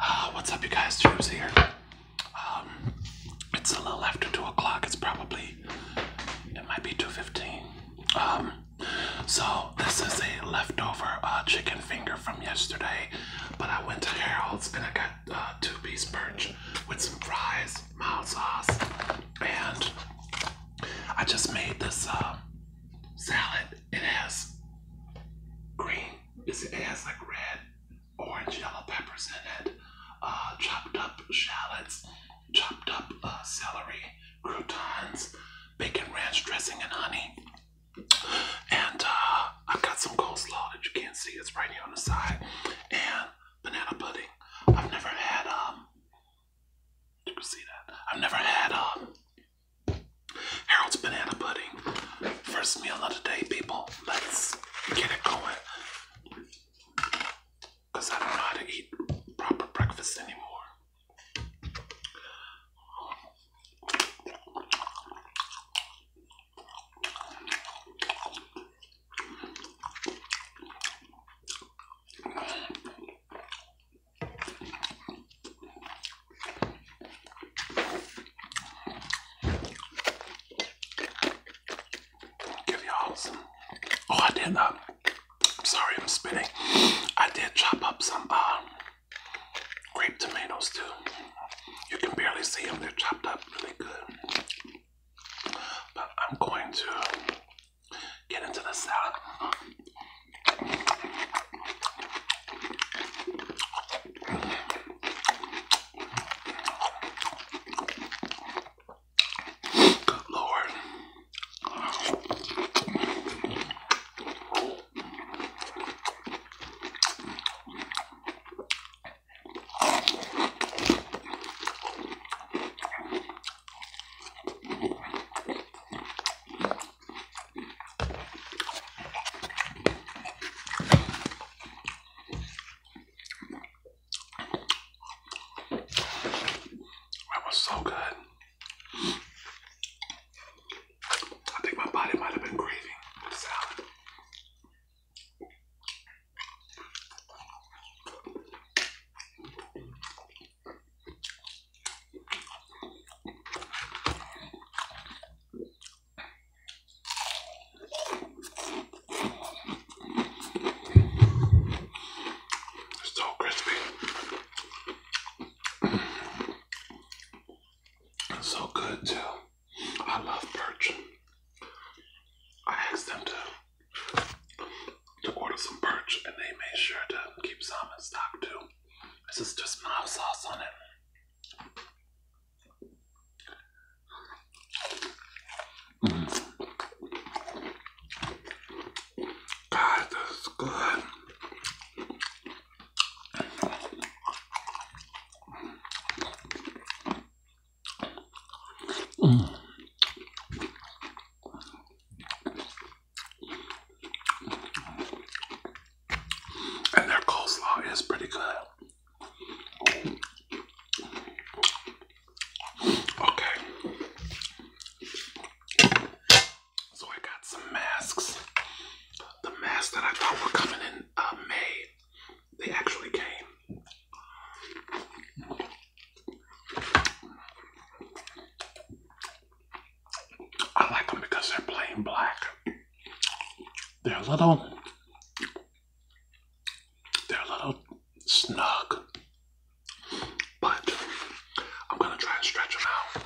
Ah, what's up, you guys? Drew's here. Um, it's a little after two o'clock. It's probably it might be two fifteen. Um, so this is a leftover uh, chicken finger from yesterday, but I went to Harold's and I got uh, two-piece perch with some fries, mild sauce, and I just made this uh, salad. It has green, it has like red, orange, yellow peppers in it, chopped up shallots, chopped up celery, croutons, bacon ranch dressing, and honey. And uh, I've got some coleslaw that you can't see, it's right here on the side, and banana pudding. I've never had, um, you can see that. I've never had, um, Harold's banana pudding. First meal of the day, people. Let's get it going because I don't know how to eat proper breakfast anymore. Give y'all some. Oh, I did not. Sorry, I'm spinning. I did chop up some um, grape tomatoes too. You can barely see them, they're chopped up really good. But I'm going to get into the salad. Lord. That was so good. I think my body might have been craving salad. So crispy. It's so good too. I love perch. I asked them to to order some perch and they made sure to keep salmon stock too. This is just mild sauce on it. Mm. God, this is good. And their coleslaw is pretty good. Okay. So I got some masks. The masks that I thought were coming in uh, May, they actually came. I like them because they're plain black. They're little, they're little snug. But I'm gonna try and stretch them out.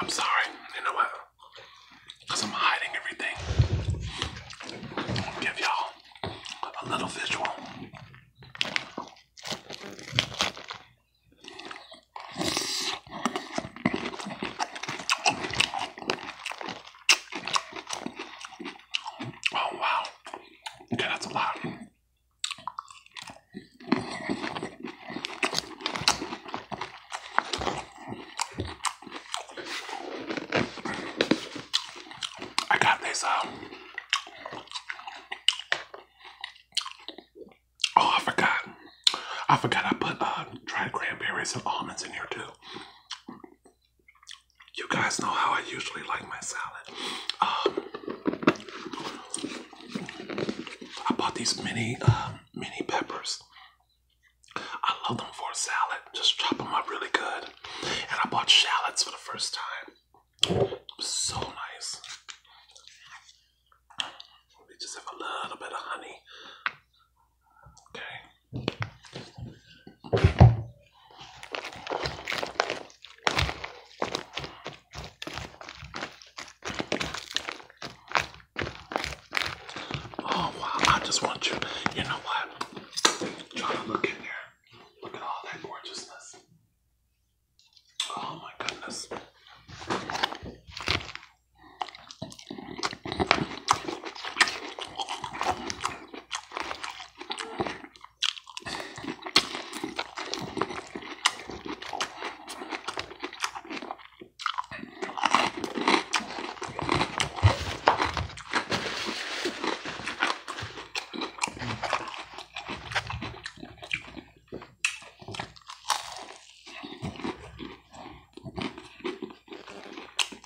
I'm sorry, you know what? because I'm hiding everything. give y'all a little visual. Oh wow. Okay, that's a lot. I got this um, Oh I forgot. I forgot I put uh, dried cranberries and almonds in here too. You guys know how I usually like my salad. Um, I bought these mini uh, mini peppers. I love them for a salad. Just chop them up really good. And I bought shallots for the first time. It was so nice. We just have a little bit of honey. Okay. Oh wow, I just want you, you know what? Try to look in there. Look at all that gorgeousness. Oh my goodness.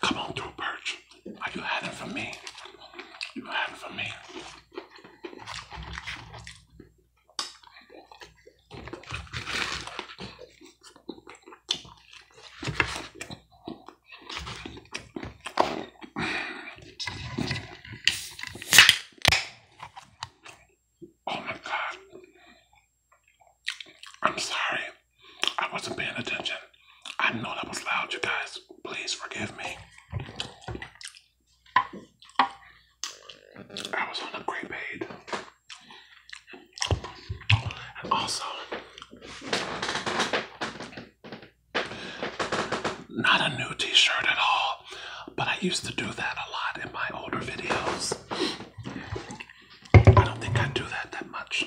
Come on through, Perch. Are you had it for me? You had it for me. Oh my god. I'm sorry. I wasn't paying attention. I know that was loud, you guys. Please forgive me. I was on a great and also, not a new t shirt at all, but I used to do that a lot in my older videos. I don't think I do that that much.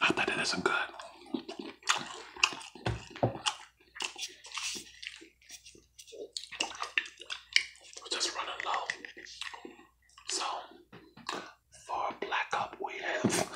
I bet it isn't good. just running low. So, for a black we have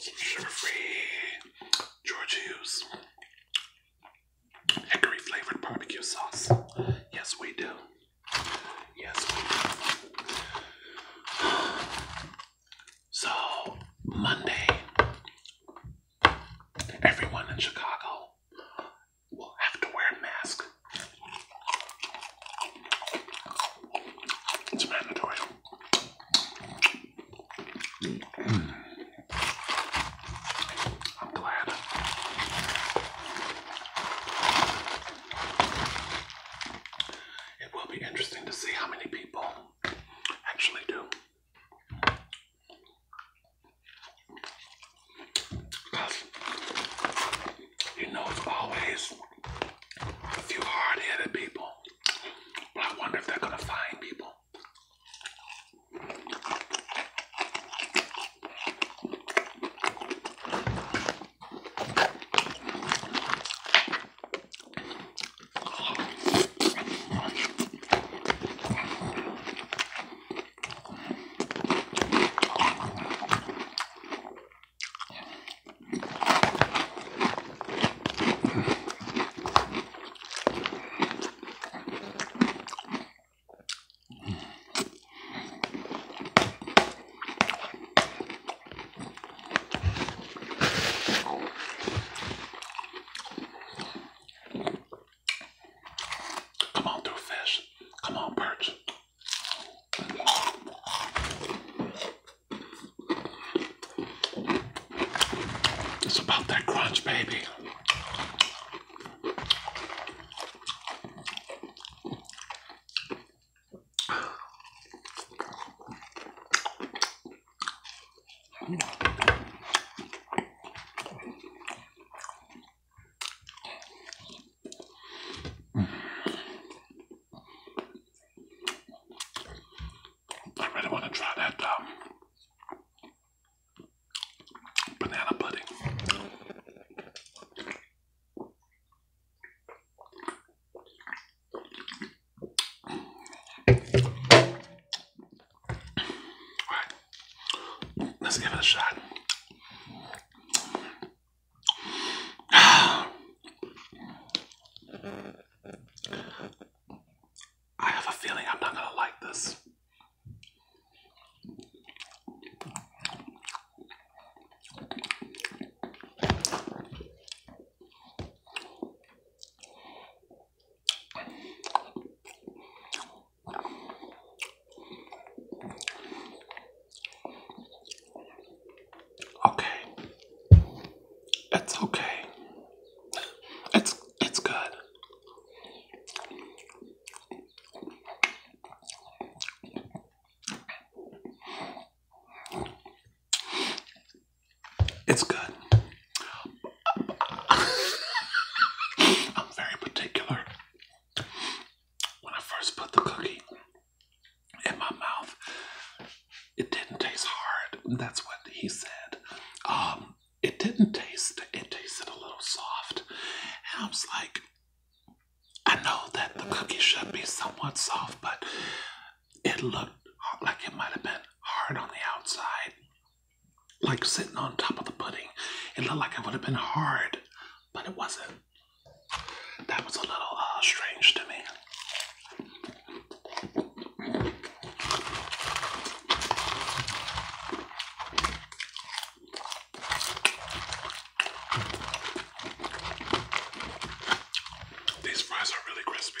sugar-free Georgia hickory flavored barbecue sauce. Yes, we do. Yes, So, Monday, everyone in Chicago will have to wear a mask. It's mandatory. I'm glad. It will be interesting to see how many people actually do you know, it's always a few hard-headed people. But I wonder if they're gonna find people. Come on through fish. Come on perch. It's about that crunch, baby. I really want to try that um, banana pudding. All right, let's give it a shot. I have a feeling I'm not gonna like this. Okay. It's okay. It's it's good. It's good. I'm very particular. When I first put the cookie in my mouth. It didn't taste hard. That's what he said. Um, it didn't taste, it tasted a little soft. And I was like, I know that the cookie should be somewhat soft, but it looked like it might have been hard on the outside. Like sitting on top of the pudding. It looked like it would have been hard, but it wasn't. That was a little uh, strange to me. These fries are really crispy.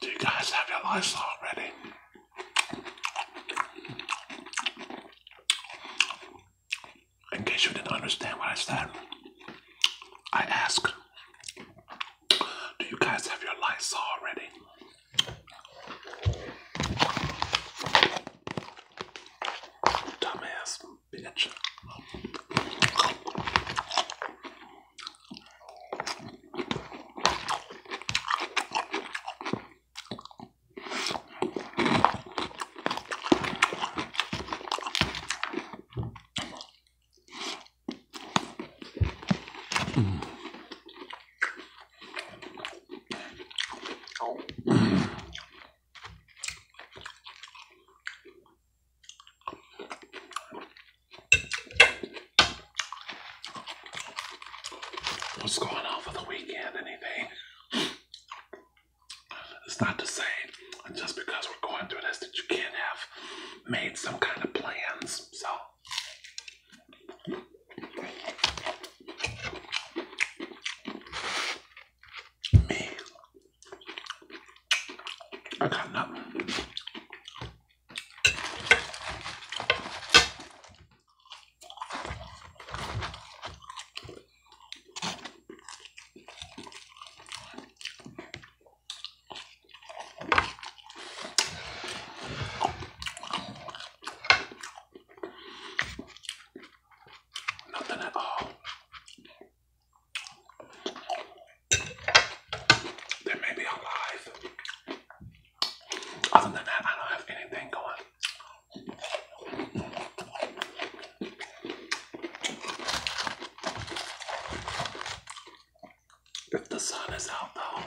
Do you guys have your lights on already? In case you didn't understand what I said, I ask: Do you guys have your lights on already? Dumbass bitch. Mm. What's going on for the weekend? Anything? It's not to say just because we're going through this that you can't have made some kind of plans. So. Me, I cannot. Nothing at all. Then maybe I'm Other than that, I don't have anything going. If the sun is out though,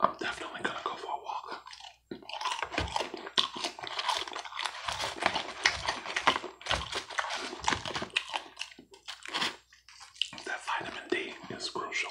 I'm definitely gonna go for a walk. That vitamin D is crucial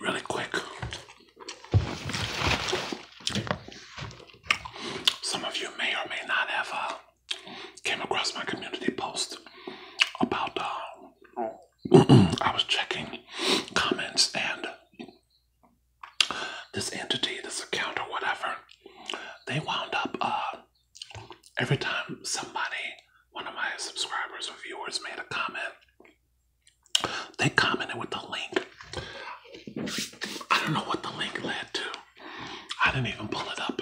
really quick some of you may or may not have uh, came across my community post about uh, I was checking comments and this entity, this account or whatever, they wound up uh, every time somebody, one of my subscribers or viewers made a comment, they commented with the link. I don't know what the link led to. I didn't even pull it up.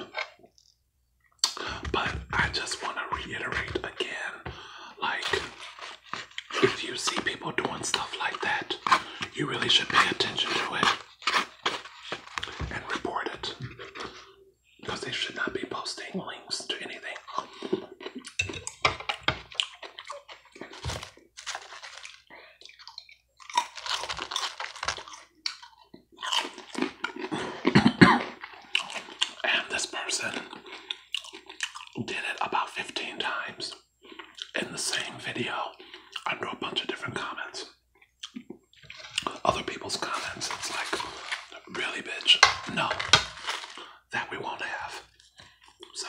But I just want to reiterate again like, if you see people doing stuff like that, you really should pay attention to it and report it because they should not be posting links to anything and this person did it about 15 times in the same video under a bunch of different comments. Other people's comments, it's like, really, bitch, no, that we won't have. So,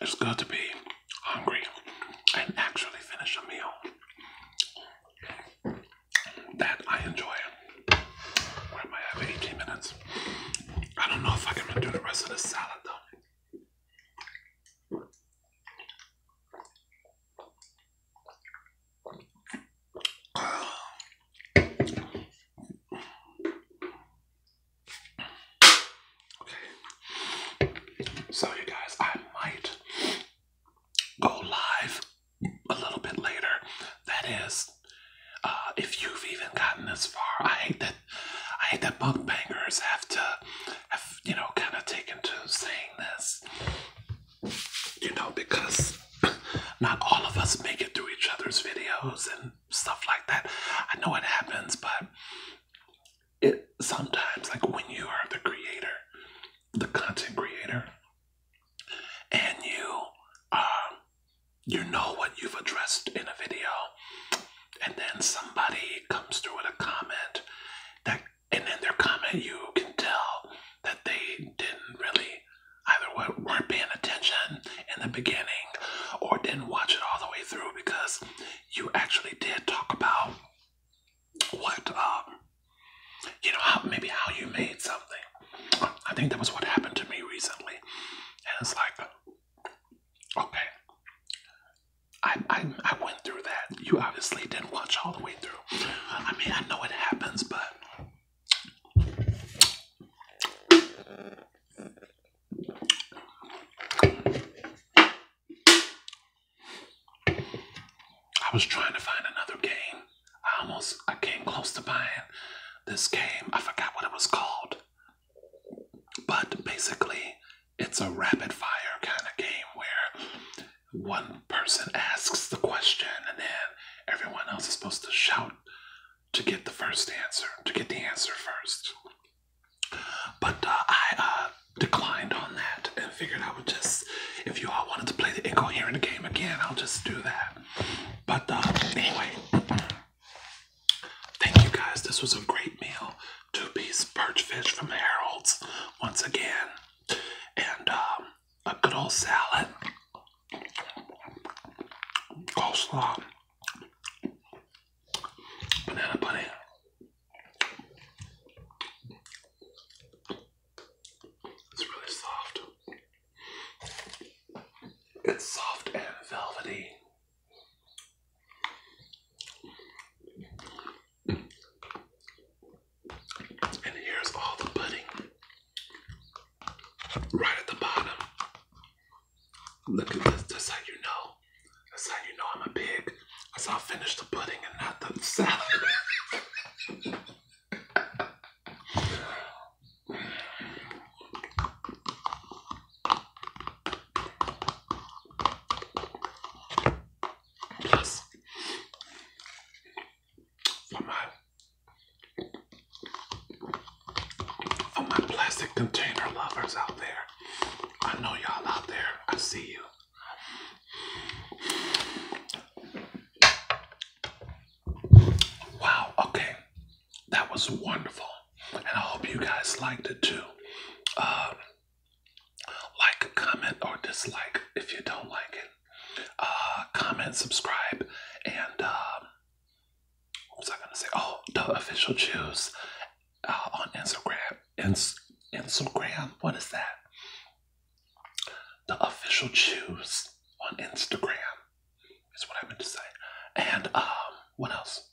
It's good to be hungry and actually finish a meal that I enjoy. Where am I at? 18 minutes. I don't know if I can do the rest of the salad though. So, you guys, I might go live a little bit later. That is, uh, if you've even gotten this far, I hate that. I hate that bunk bangers have to have you know kind of taken to saying this you know, because not all of us make it through each other's videos and stuff like that. I know it happens, but it sometimes, like when you are the creator, the content creator, and you, um, you know what you've addressed in a video, and then somebody comes through with a comment that, and in their comment you can tell that they didn't really either weren't paying attention in the beginning or didn't watch it all the way through because you actually did talk about what um you know how maybe how you made something i think that was what happened to me recently and it's like okay I, I i went through that you obviously didn't watch all the way through i mean i know it happens but I was trying to find another game. I almost I came close to buying this game. I forgot what it was called. But basically, it's a rapid fire kind of game where one person asks the question and then everyone else is supposed to shout to get the first answer, to get the answer first. But uh, I uh, declined on that and figured I would just, if you all wanted to play the echo here in the game again, I'll just do that. But uh, anyway, thank you guys. This was a great meal. Two piece perch fish from Harold's once again. And um, a good old salad, coleslaw, banana pudding. It's really soft. It's soft and velvety. And here's all the pudding right at the bottom. Look at this. That's how you know. That's how you know I'm a pig. That's how I finish the pudding and not the salad. Plus, for my for my plastic container lovers out there. I know y'all out there. I see you. Wow, okay. That was wonderful. And I hope you guys liked it too. Um, like, comment, or dislike if you don't like it. Uh, comment, subscribe, and um, what was I gonna say? Oh, the official choose uh, on Instagram. Ins Instagram, what is that? The official choose on Instagram is what I meant to say. And um, what else?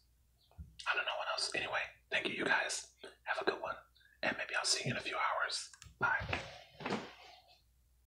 I don't know what else. Anyway, thank you, you guys. Have a good one, and maybe I'll see you in a few hours. Bye.